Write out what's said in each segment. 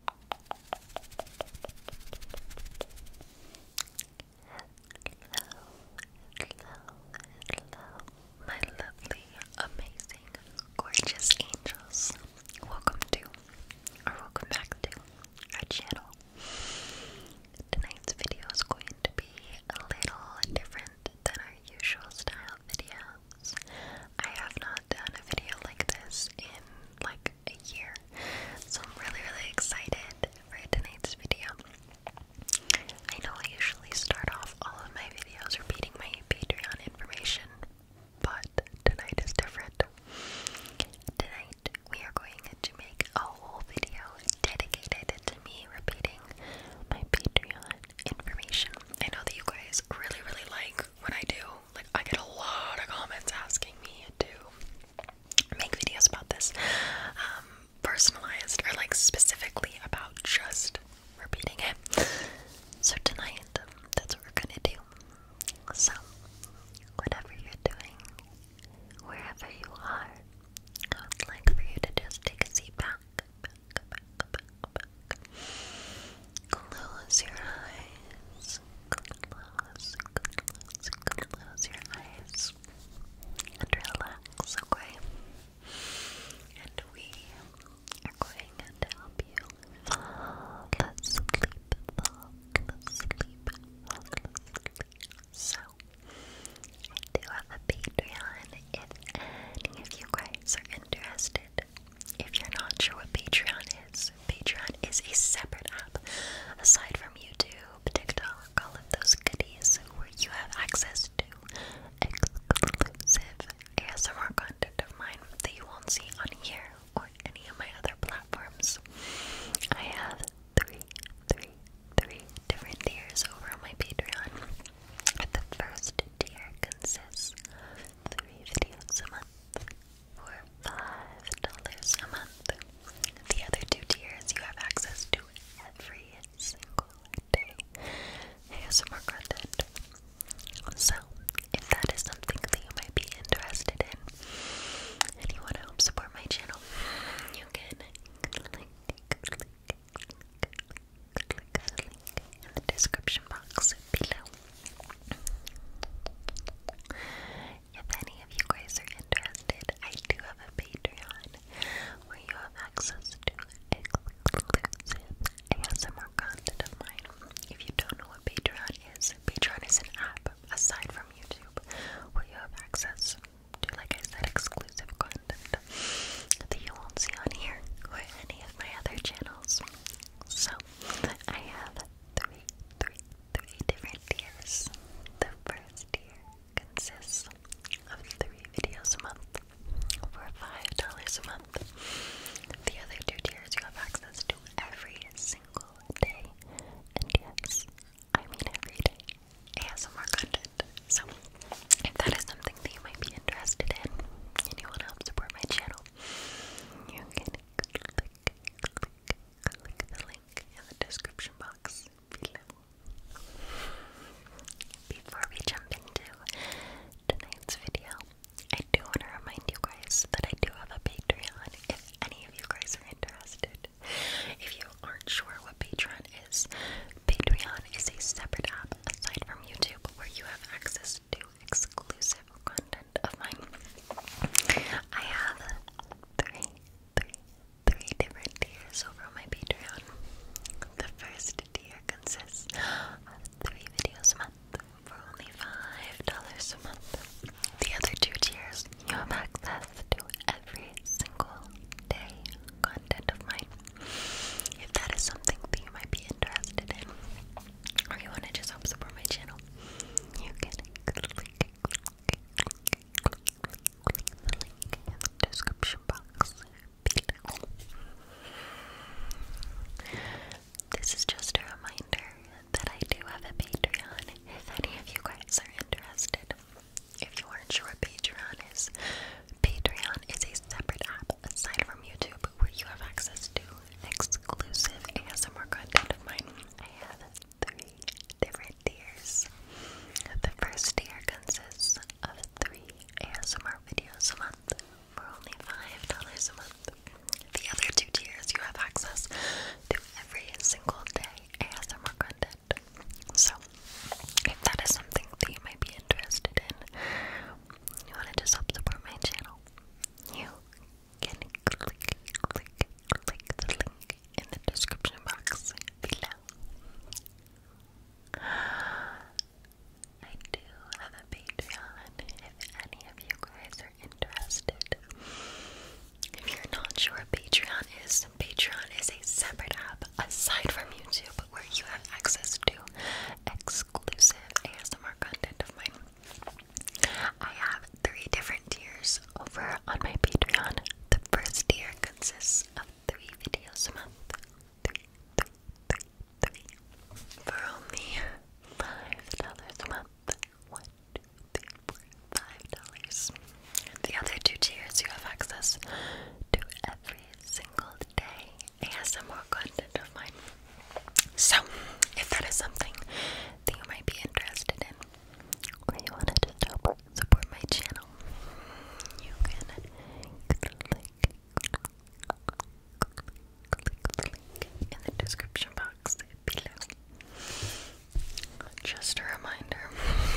hello, my lovely, amazing, gorgeous angels. Welcome to, or welcome back to, our channel. Tonight's video is going to be a little different than our usual style videos. I have not done a video like this in like a year. So I'm really, really excited for tonight's video. I know I usually start off all of my videos repeating my Patreon information, but tonight is different. Tonight we are going to make a whole video dedicated to me repeating my Patreon information. I know that you guys really, really like what I do, like I get a lot of comments asking me to make videos about this, um, personalized or like specifically about just repeating it. So tonight, that's what we're gonna do. So, whatever you're doing, wherever you are, I would like for you to just take a seat back. Close your eyes. Close, close, close your eyes. And relax, okay? And we are going to help you fall asleep, fall asleep, fall asleep. So, I do have a Patreon if any of you guys are interested. If you're not sure what Patreon is, Patreon is a separate app aside from YouTube, TikTok, all of those goodies where you have access to exclusive ASMR content of mine that you won't see on here or any of my other platforms. I have three, three, three different tiers over on my Patreon. The first tier consists of three videos a month for $5 a month. The other two tiers you have access to every single day ASMR content. So, if that is something that you might be interested in anyone you want to support my channel, you can click, click, click, click, click the link in the description box below. If any of you guys are interested, I do have a Patreon where you have access to exclusive ASMR content of mine. If you don't know what Patreon is, Patreon is an app aside from YouTube where you have access to, like I said, exclusive content that you won't see on here or any of my other channels. So, I have three, three, three different tiers. The first tier consists of three videos a month for five dollars a month. The other two tiers you have access to every single day, and yes, I mean every day, ASMR content. So, if that is something that you might be interested in, and you want to help support my channel, you can click, click the link in the description box below. Before we jump into tonight's video, I do want to remind you guys that I do have a Patreon if any of you guys are interested. If you aren't sure what Patreon is, Patreon is a separate app aside from YouTube where you have access access exclusive content of mine. I have three, three, three different tiers over my Patreon. The first tier consists of three videos a month for only $5 a month. The other two tiers, you have access to every single day content of mine. If that is something that you might be interested in, or you want to just help support my channel, you can link in the description box This is just a reminder that I do have a Patreon if any of you guys are interested. If you aren't sure what Patreon is, Patreon is a separate app aside from YouTube where you have access to exclusive ASMR content of mine. I have three different tiers. The first tier consists of three ASMR videos a month for only $5 a month. The other two tiers, you have access to every single day ASMR content. So, if that is something that you might be interested in, you want to just help support my channel, you click, the link in the description box below. I do have a Patreon if any of you guys are interested. If you're not sure, Patreon is Patreon is a separate app aside from YouTube where you have access to exclusive ASMR content of mine. I have three different tiers over on my Patreon. The first tier consists of three videos a month. For only five dollars a month. One, two, three, four, five dollars. The other two tiers you have access to every single day ASMR content of mine. So, if that is something that you might be interested in, or you want to support my channel, you can click, click, click in the description box below. Just a reminder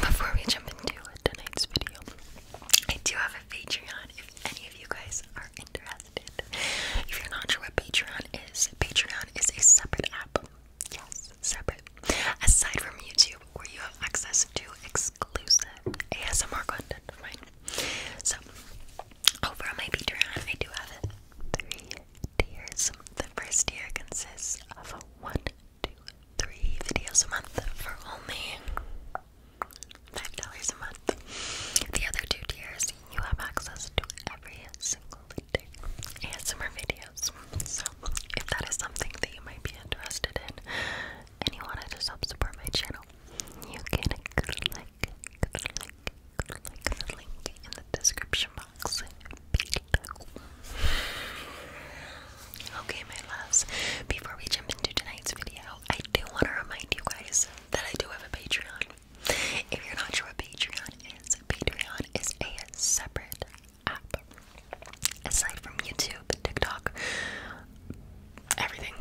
before we jump into tonight's video, I do have a Patreon if any of you guys are interested. If you're not sure what Patreon is, Patreon is a separate app. Yes, separate. Aside from YouTube, where you have access to exclusive ASMR content So, over on my Patreon, I do have it. Three tiers. The first tier consists of one, two, three videos a month for only $5 a month. The other two tiers, you have access to every single some more videos. So, if that is something that you might be interested in and you want to just help support my channel, you can click, click the link in the description box below. Okay, my loves, before we jump into tonight's video, I do want to remind you guys that I do have a Patreon. If you're not sure what Patreon is, Patreon is a separate app. Aside from YouTube, TikTok, everything,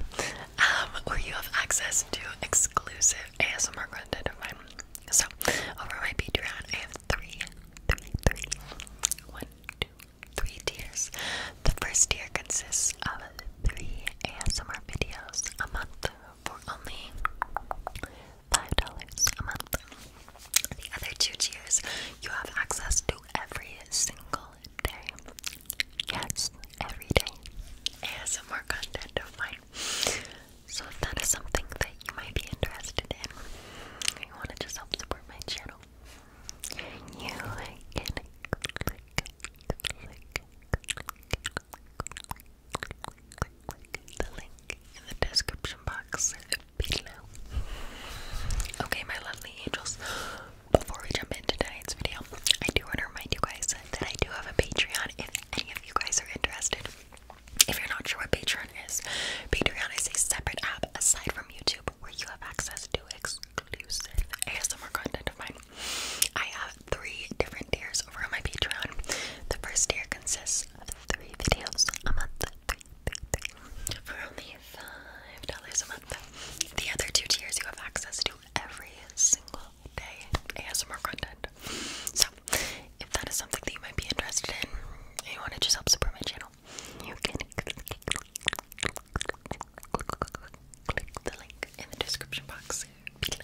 um, where you have access to exclusive ASMR content So, over my Patreon, I have three, three, three, one, two, three tiers. The first tier consists of three ASMR videos a month for only $5 a month. The other two tiers you have access to every single day. Yes, every day. ASMR content of mine. So if that is something that you might be interested in, you want to just help support my channel, you can click, click, click, click, click, click, the link in the description box below. Okay, my lovely angels, before we jump into tonight's video, I do want to remind you guys that I do have a Patreon if any of you guys are interested. If you're not sure what Patreon is, Patreon is a separate app aside from YouTube where you have access to exclusive ASMR content of mine. I have three different tiers over on my Patreon. The first tier consists of three videos a month for only $5 a month. The other two tiers you have access to every single day ASMR content. So, if that is something that you might be interested in and you want to just help support my channel, you can click the link in the description box Okay,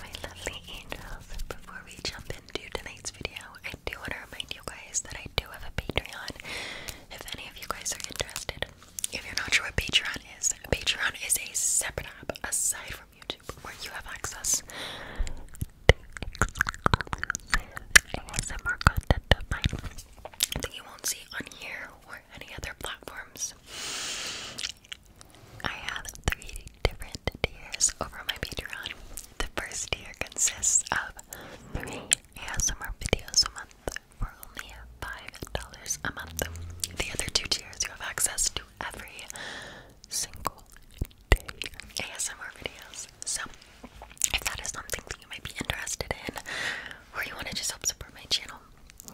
my lovely angels, before we jump into tonight's video, I do want to remind you guys that I do have a Patreon. If any of you guys are interested, if you're not sure what Patreon is, Patreon is a separate app aside from YouTube where you have access to exclusive ASMR content that you won't see on here any other platforms. I have three different tiers over my Patreon. The first tier consists of three ASMR videos a month for only $5 a month. The other two tiers, you have access to every single ASMR videos. So, if that is something that you might be interested in, or you want to just help support my channel,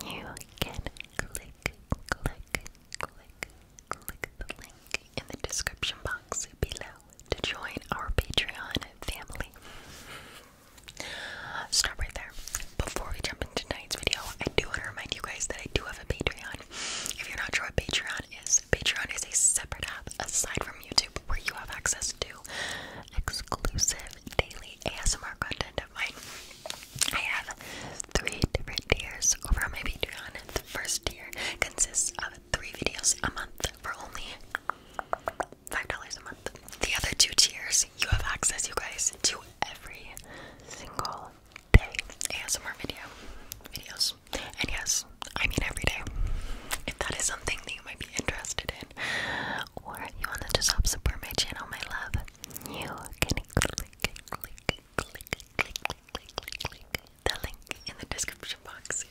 you can click click, click, click, the link in the description box below to join our Patreon family. Stop right there. Before we jump into tonight's video, I do want to remind you guys that I do have a Patreon. If you're not sure what Patreon is, Patreon is a separate app aside from YouTube where you have access to exclusive daily ASMR content of mine. I have three different tiers over on my Patreon. The first tier consists of three videos a month for only $5 a month. The other two tiers, you have access, you guys, to every single day ASMR video videos. And yes, I mean every day. If that is something that you might be interested in, or you want to just help support my channel, my love, you can click, click, click, click, click, click, click the link in the description box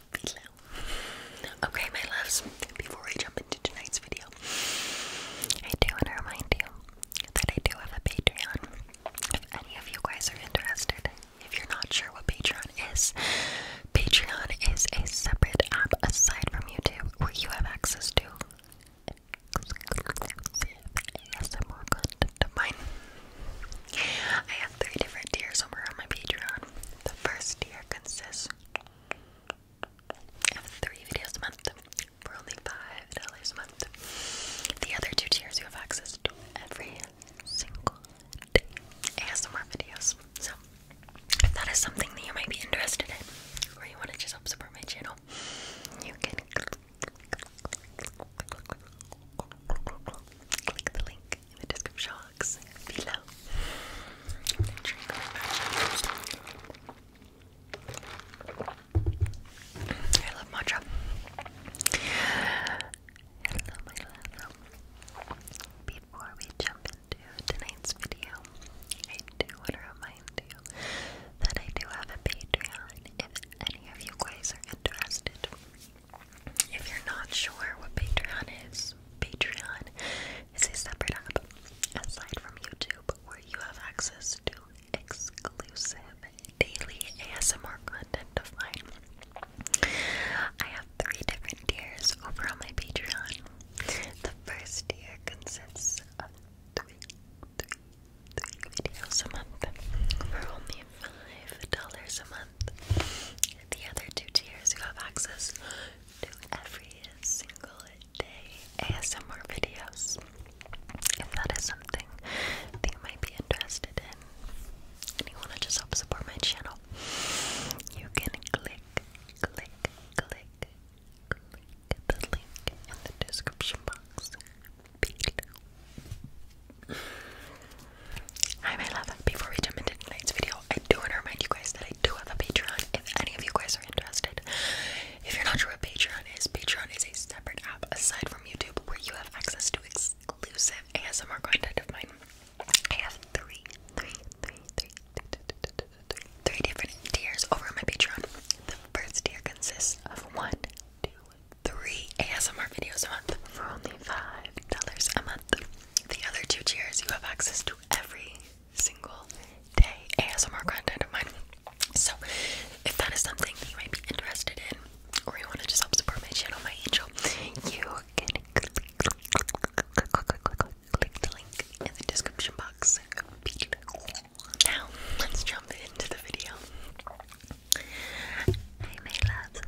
Okay, my loves, before I jump into tonight's video, I do want to remind you that I do have a Patreon. If any of you guys are interested, if you're not sure what Patreon is, Patreon is a separate app aside from YouTube where you have access to exclusive content of mine. I have three different tiers over on my Patreon. The first tier consists of three videos a month for only $5 a month. The other two tiers you have access to every single day ASMR videos. So, if that is something that you might be interested in, or you want to just help support my channel, you can click the link in the description box below. I love matcha. Hello, my love. Before we jump into tonight's video, I do want to remind time I do have a Patreon if any of you guys are interested. If you're not sure what Patreon is, Patreon is a separate app aside from YouTube where you have access to exclusive daily ASMR content of mine. I have three different tiers over on my Patreon. The first tier consists of three, videos a month for only five dollars a month. the other two tiers, you have access to every single day ASMR videos. If that is something that you might be interested in, and you want to just help support my channel, you can click, click, click, click the link in before we jump into tonight's video, I do want to remind you guys that I do have a Patreon if any of you guys are interested. If you're not sure what Patreon is, Patreon is a separate app aside from YouTube where you have access to exclusive ASMR content of mine. I have three, three, three, three, three, three, three, three, three different tiers over my Patreon first tier consists of one, two, three ASMR videos a month for only $5 a month. The other two tiers, you have access to every single day ASMR content of mine. So, if that is something that you might be interested in, or you want to just help support my channel, my angel, you can click, click the link in the description box below. Now, let's jump into the video. Hey, my loves.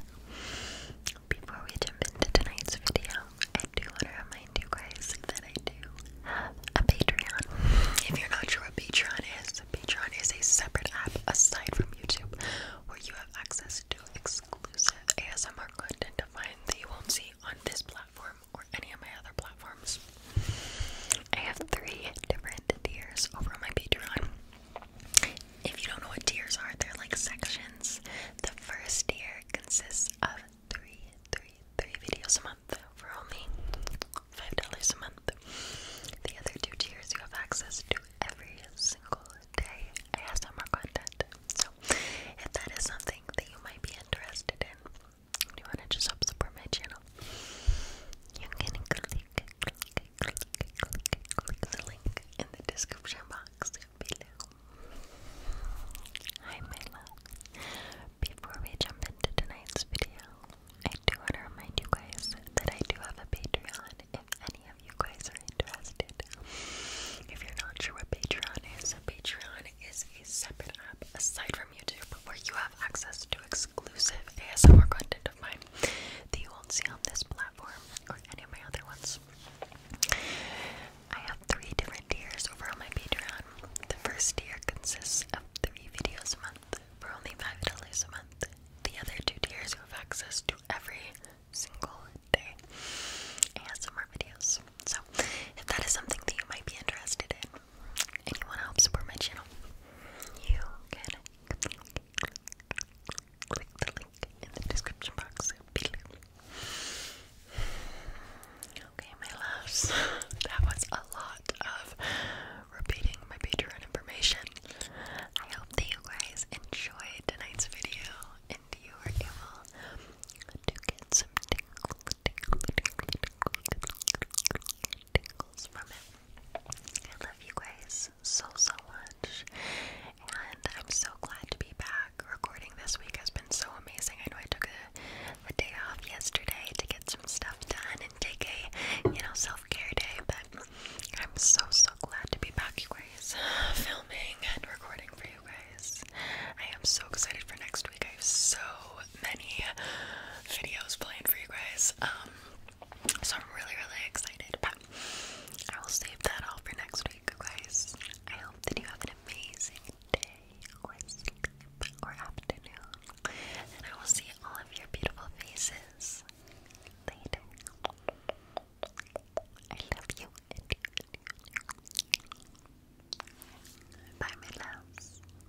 Before we jump into tonight's video, I do want to remind you guys that I do have a Patreon. If you're not sure what Patreon is, Patreon is a separate app aside from YouTube where you have access to exclusive ASMR content of that you won't see on this platform or any of my other platforms. I have three different tiers over on my Patreon. If you don't know what tiers are, they're like sections. The first tier consists of three, three, three videos a month for only five dollars a month. The other two tiers you have access to every single day I have some more content. So if that is something that you might be interested in, do you want to just help support my channel? You can click, the link in the description box below. Hi, my love. Before we jump into tonight's video, I do want to remind you guys that I do have a Patreon if any of you guys are interested. If you're not sure what Patreon is, Patreon is a separate app aside from YouTube where you have access to exclusive ASMR content of mine that you won't see on this platform or any of my other ones. I have three different tiers over on my Patreon. The first tier consists of three videos a month for only $5 a month. The other two tiers you have access to every single day ASMR videos. So, if that is something that you might be interested in, anyone help support my channel, you can click the link in the description box Okay, my loves, that was a lot of repeating my Patreon information. I hope that you guys enjoyed tonight's video and you are able to get some tingles from it. I love you guys so, so much. And I'm so glad to be back. Recording this week has been so amazing. I know I took a, a day off yesterday to get some stuff done and take a, you know, self care day, but I'm so, so glad to be back, you guys, filming and recording for you guys. I am so excited for next week. I have so many videos planned for you guys. Um, so I'm really, really excited. But I will save that all for next week, guys. I hope that you have an amazing day or sleep or afternoon. And I will see all of your beautiful faces later. I love you. Bye, my loves.